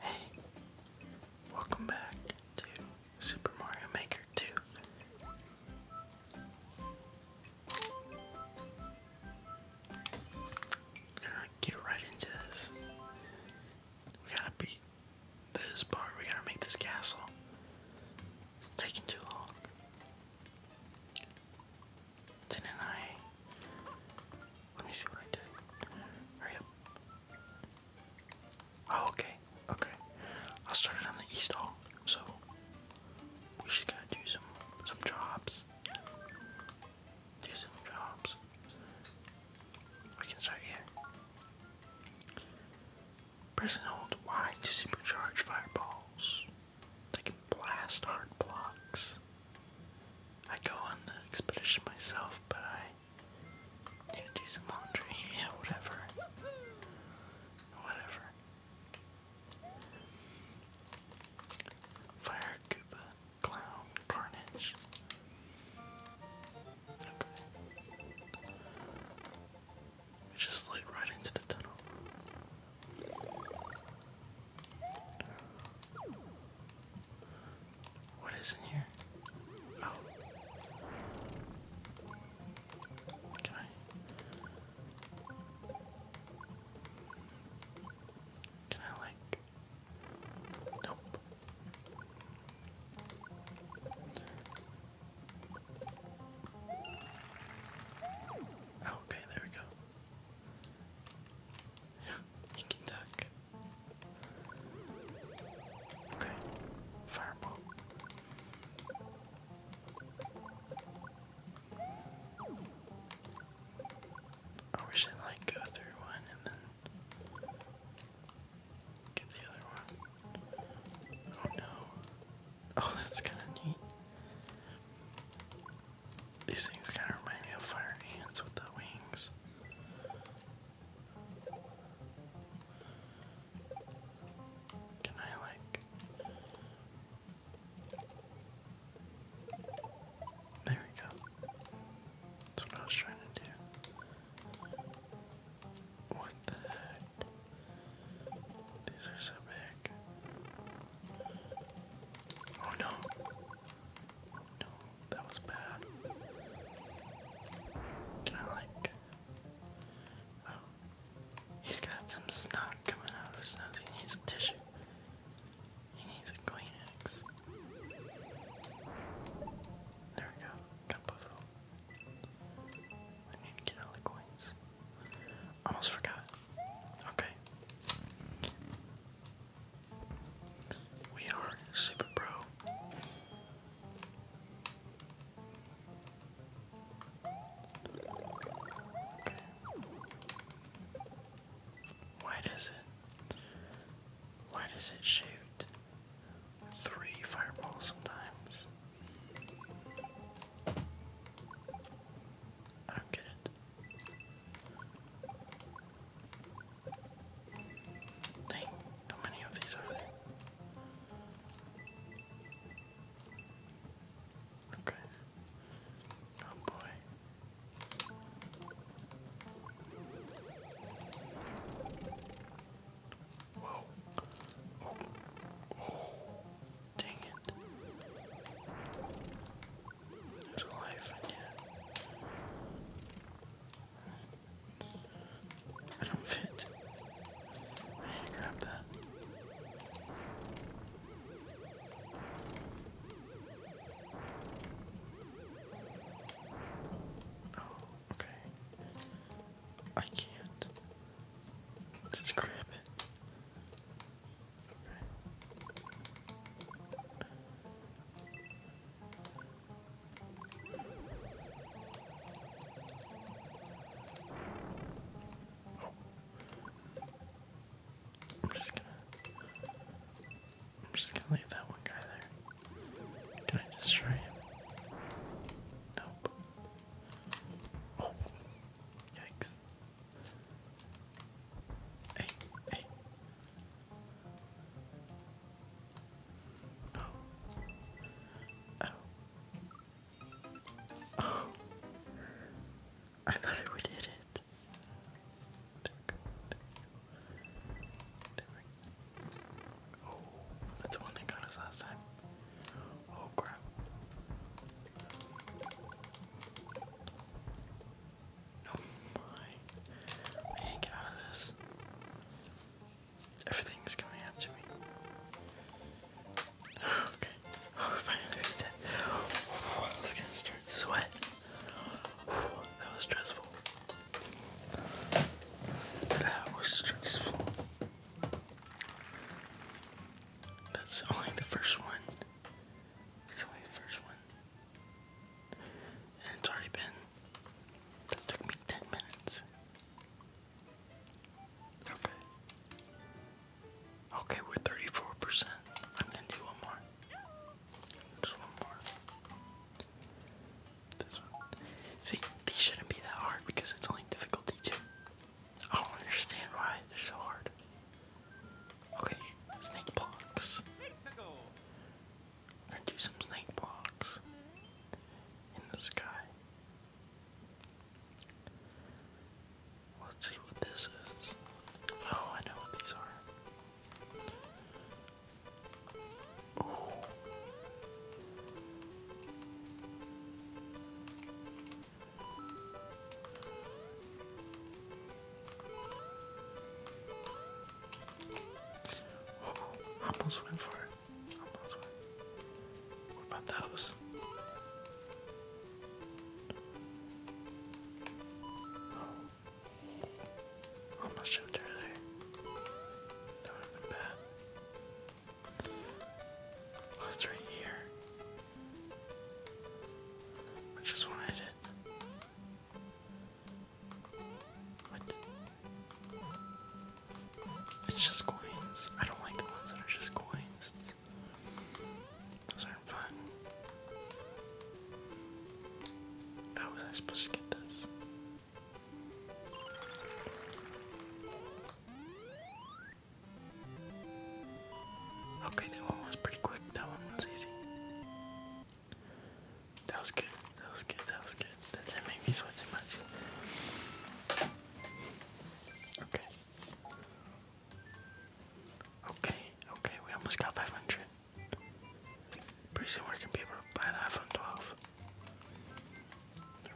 Hey, welcome back to Super Mario Maker 2. gonna get right into this. We gotta beat this part, we gotta make this castle. It's taking too long. Didn't I let me see what I did. Hurry up. Oh, okay. Okay. I started on the east hall, so we should got do some some jobs. Do some jobs. We can start here. Press and hold Y to supercharge fireballs. They can blast hard blocks. I go on the expedition myself, but I need to do some laundry. Yeah, whatever. Whatever. Fire Koopa, Clown, Carnage. Okay. We just slid right into the tunnel. What is in here? Can oh. I? Can I like? Nope. Oh, okay, there we go. you can duck. Okay, fireball. Oh, we should like go through one and then get the other one. Oh no. Oh, that's kind of neat. These things kind of remind me of fire ants with the wings. Can I, like. There we go. That's what I was trying to do. What the heck? These are so big. Oh no. Oh, no that was bad. Can I like? Oh. he's got some snot coming out of his nose. He needs tissue. He needs a Kleenex. There we go. Got both of them. I need to get all the coins. Almost forgot. Okay. We are super pro. Why does it? Why does it shoot three fireballs sometimes? I don't get it. Dang, how many of these are there? Okay. Oh boy. Whoa. Oh. Oh. Dang it. It's alive, yeah. I don't fit. I need to grab that. Oh, okay. I can't. Just grab it. Oh. I'm just gonna I'm just gonna leave that one guy there. Can I destroy him? Nope. Oh yikes. Hey, hey. Oh. Oh. I thought I would it. Oh, that's the one that got us last time. Oh crap. Oh my. I can't get out of this. Everything is coming up me. Okay. Oh, finally did it. Oh, I was sweat. that was stressful. That was stressful. That's only the first one. It's only the first one it's already been. That took me 10 minutes. Okay. Okay, we're 34%. I'm gonna do one more. Just one more. This one. See, these shouldn't be that hard because it's only difficulty 2. I don't understand why they're so hard. Okay, snake blocks. gonna do some snake blocks in the sky. Let's see what this is. Oh, I know what these are. Oh, almost went for it. What about those? Oh, almost jumped earlier. That would oh, right here. I just want to what? It's just coins. I don't like the ones that are just coins. Those aren't fun. How was I supposed to get this? Okay, that one was pretty quick. That one was easy. That was good. That was good. That was good. That didn't make me sweat too much. Okay. Okay. Okay. We almost got 500. Pretty soon we're gonna be able to buy the iPhone 12.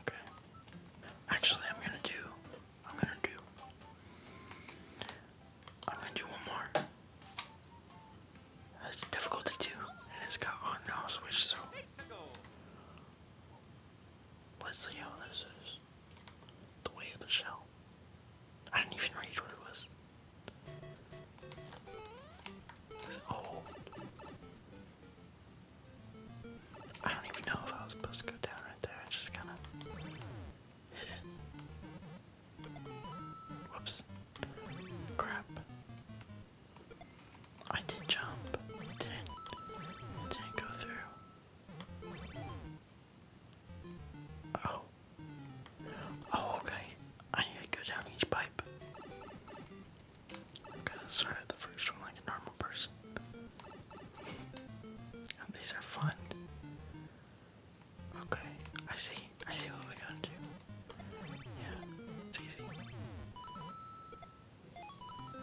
Okay. Actually, I'm gonna do. I'm gonna do. I'm gonna do one more. That's difficulty two, and it's got on off switch, so let's see how this is. The way of the shell. I didn't even read what it was. It's oh. I don't even know if I was supposed to go down right there. I just kind of Whoops. Crap. I did not jump. It didn't, it didn't go through. Oh. Oh, okay. I need to go down each pipe. Okay, let's start the first one like a normal person. These are fun. Okay, I see. I see what we're gonna do. Yeah, it's easy.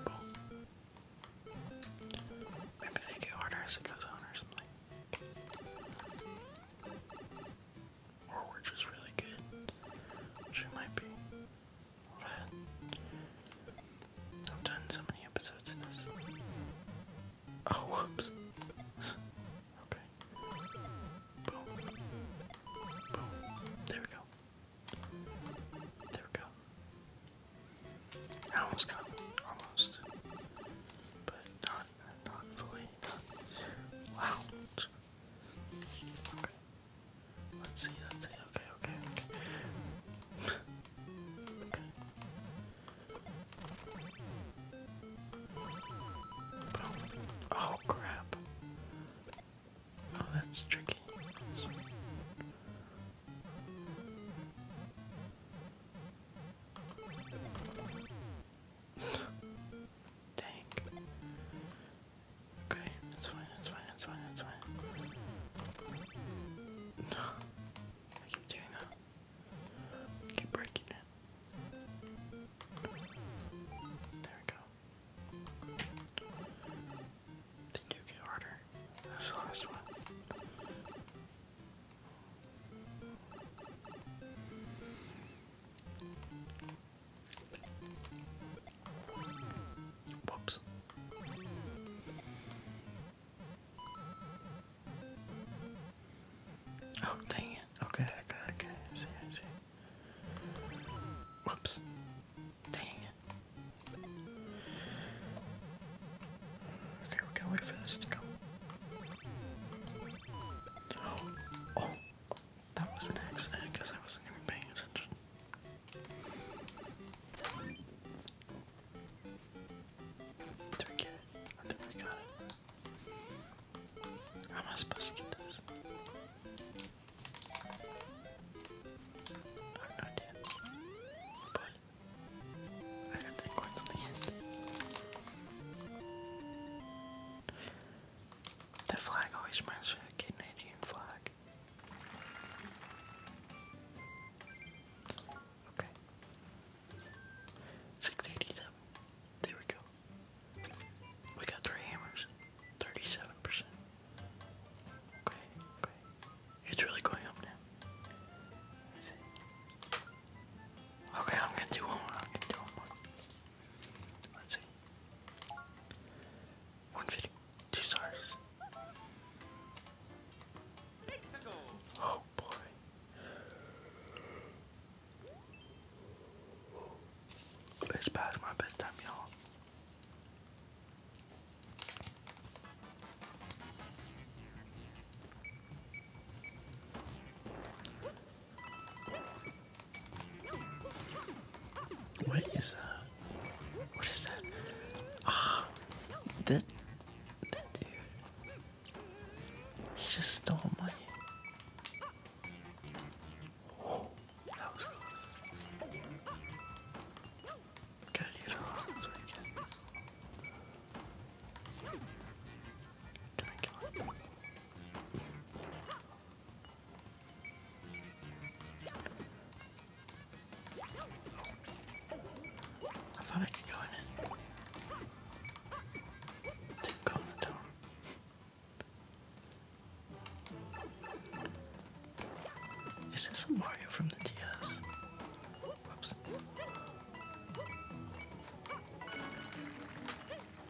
Boom. Maybe they get harder as it goes on or something. Or we're really good. Which might be. But I've done so many episodes in this. Oh, whoops. okay. Boom. Boom. There we go. There we go. almost got it. Almost. But not, not fully. Not. Wow. Okay. Let's see, let's see. okay, okay. Boom. Oh crap. Oh, that's tricky. That's... Dang. Okay, that's fine, that's fine, that's fine, that's fine. I keep doing that. I keep breaking it. There we go. They do get harder. That's the last one. Whoops. Oh, dang it. Okay, okay, okay. I see, I see. Whoops. Dang it. Okay, we gotta wait for this to go. Oh, oh. That was an accident because I wasn't even paying attention. Do we get it? I think we got it. How am I supposed to get this? I have no idea. But I got ten coins in the end. That flag always reminds the Canadian flag. Okay. 687. There we go. We got three hammers. 37%. Okay, okay. It's really going up now. Okay, I'm gonna do one more. I'm gonna do one more. Let's see. One Two stars. Oh, boy. It's past my bedtime, y'all. What is that? What is that? Ah, that, he just stole my. that was close. Gotta get this weekend. Can I kill him? I thought I could go in Didn't go in the tower. Is this a Mario from the DS? Whoops.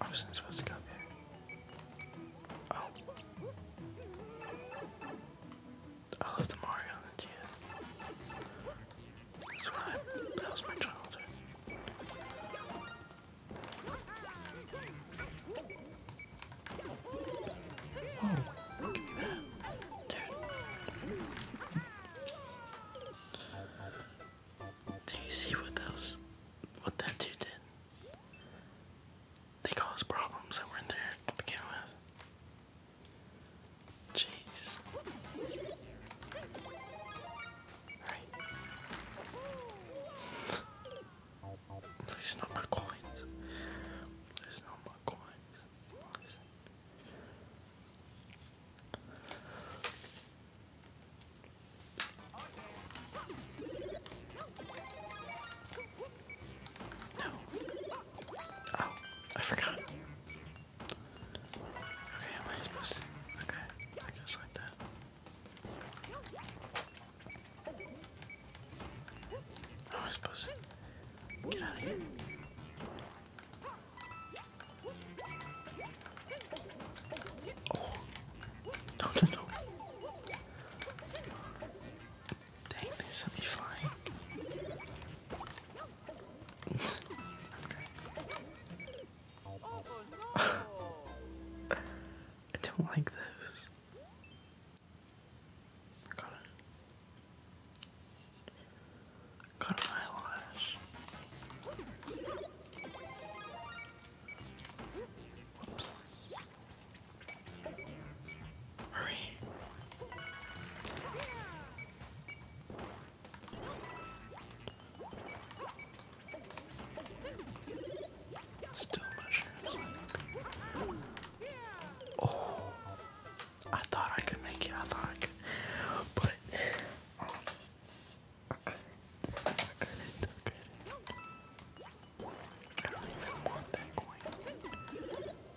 I wasn't supposed to go here. Oh. Oh, I love the Mario and yeah. That's what I, that was my childhood. Whoa, give me that. Dude. Do you see what those what that dude did? They caused problems that weren't there to begin with. Jeez. Please no more coins. Please no more coins. No. Oh, I forgot. Okay, am I supposed to? Okay, I guess like that. How am I supposed to? Get out of here. Oh. No, no, no. Dang, they sent me flying. okay. I don't like those. Got a, an eyelash. Oops. Hurry. Still mushrooms. Oh, I thought I could make it. I but I couldn't. I couldn't. I don't want that coin.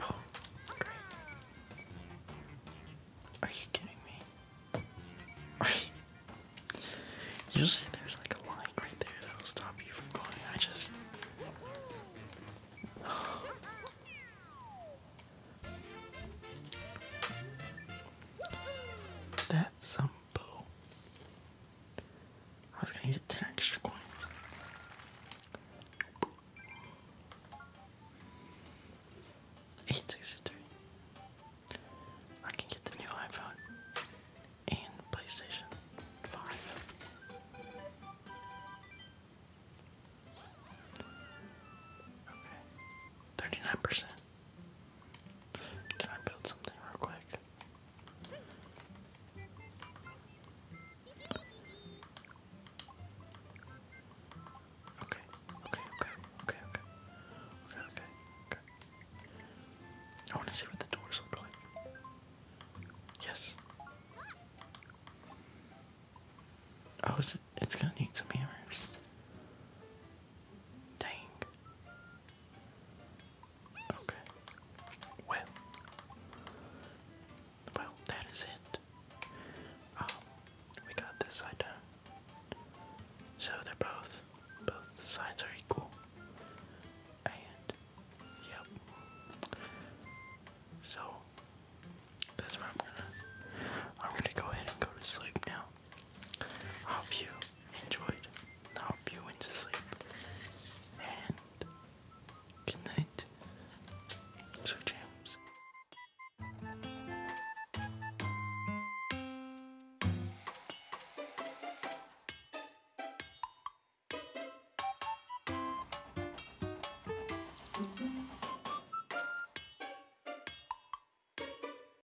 Oh, Are you kidding me? Usually there's like a line right there that'll stop you from going. I just. That's some I was gonna get 10 extra coins. Eight sixty-three. I can get the new iPhone and PlayStation 5. Okay. Thirty-nine percent. Can I build something real quick? Okay, okay, okay, okay, okay. Okay, okay, I wanna see what the doors look like. Yes. Oh, it's gonna need some hammers. Dang. Okay. Well. Well, that is it. Um, we got this side done. So they're both, both sides are equal. And, yep. So, that's what I'm gonna, I'm gonna go ahead and go to sleep now. I hope you enjoyed. I hope you went to sleep. And good night. So James.